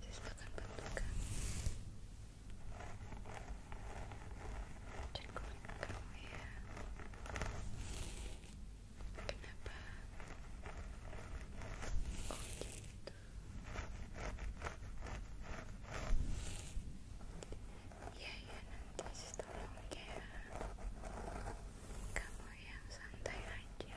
sisakan bentukan dan kamu kenapa? oh gitu ya ya nanti sis tolong ya kamu yang santai aja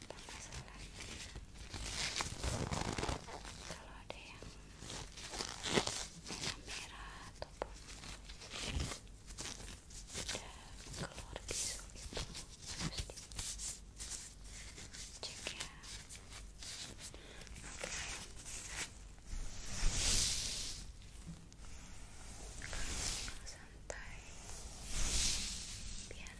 apa kalau ada yang merah-merah ataupun ada keluar bisu gitu harus dicek ya santai biar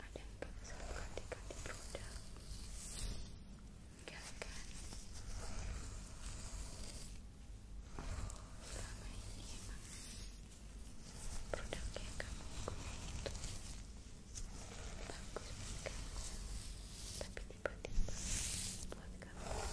ada yang pakai satu ganti-ganti produk kan oh, selama ini emang produk kamu itu bagus buat kamu tapi tiba-tiba buat kamu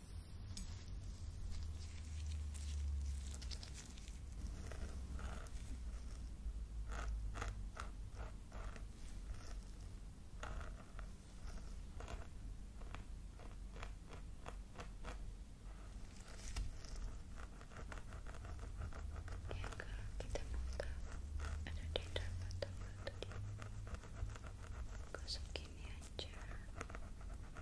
ya kalau kita buka ada data mata mata di gosok aja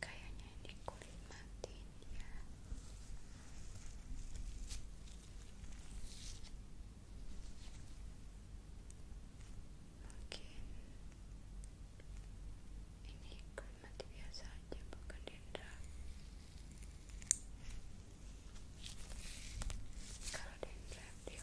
kayaknya ini kulit mati ya mungkin ini kulit mati biasa aja bukan dendra kalau dendra dia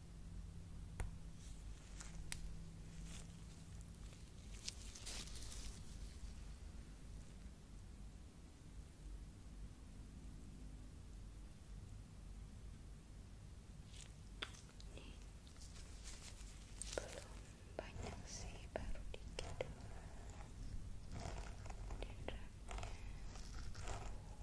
belum banyak sih, baru dikit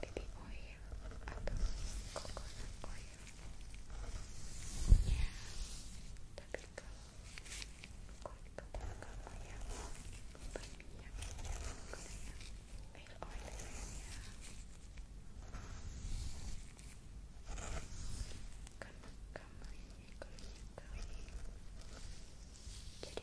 baby oil atau coconut oil ya tapi kalau kulit kepala kamu yang berminyak gunakan jadi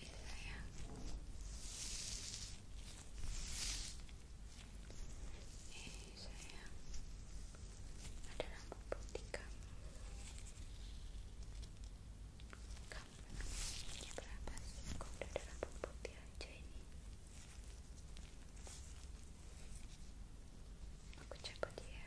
Ini sayang Ini sayang Ada rambut kamu Kamu berapa sih? Kok udah ada rambut putih ini? Aku coba ya. dia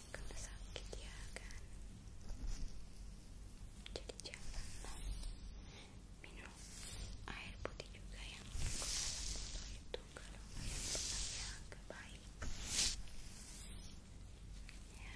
ya kalau sakit ya kan jadi janganlah minum air putih juga yang kotor itu kalau kalian pernah ya agak baik ya.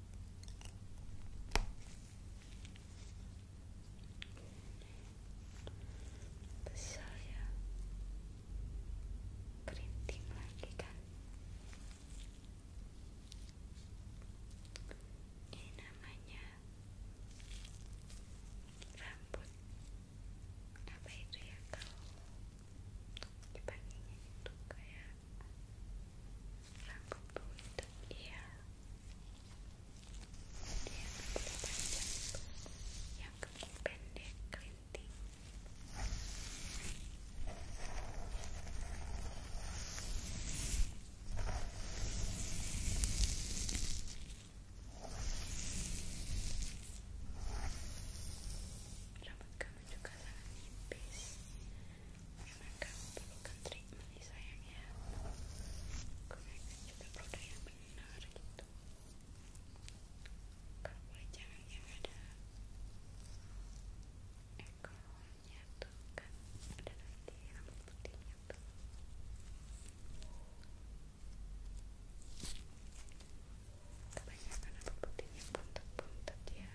besar saya kerinting lagi kan ini namanya rambut apa itu ya kalau dipanggilnya itu kayak rambut buntut iya dia rambut yang kemung pendek kelinting rambut kamu juga sangat nipis karena kamu perlukan treatment nih sayang ya gunakan juga produk yang benar gitu kalau boleh jangan yang ada ekornya tuh kan ada nanti rambut putihnya tuh kebanyakan rambut putihnya buntut-buntut ya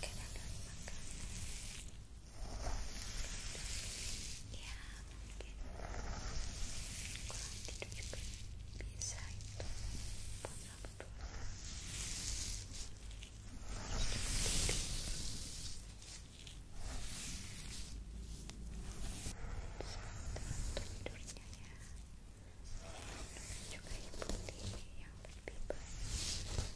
Keadaan makanan Ya mungkin Kurang tidur itu Buat rapat dulu Harus cukup tidur juga lebih baik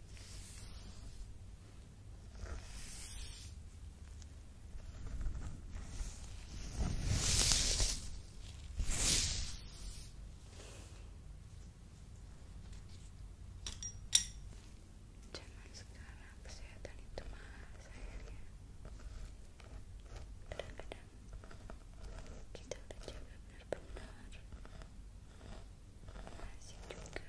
Zaman sekarang kesehatan itu mahal sayangnya. kadang kita udah jaga masih juga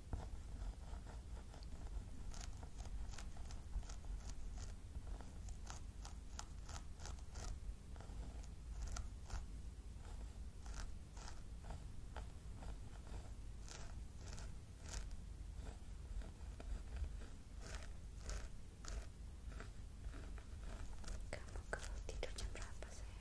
kamu kalau tidur jam berapa sayang?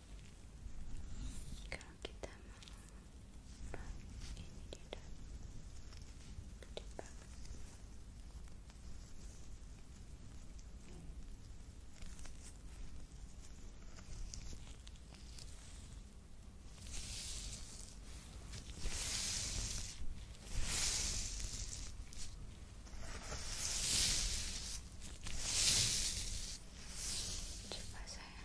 kalau kita mau ini tidak gede coba saya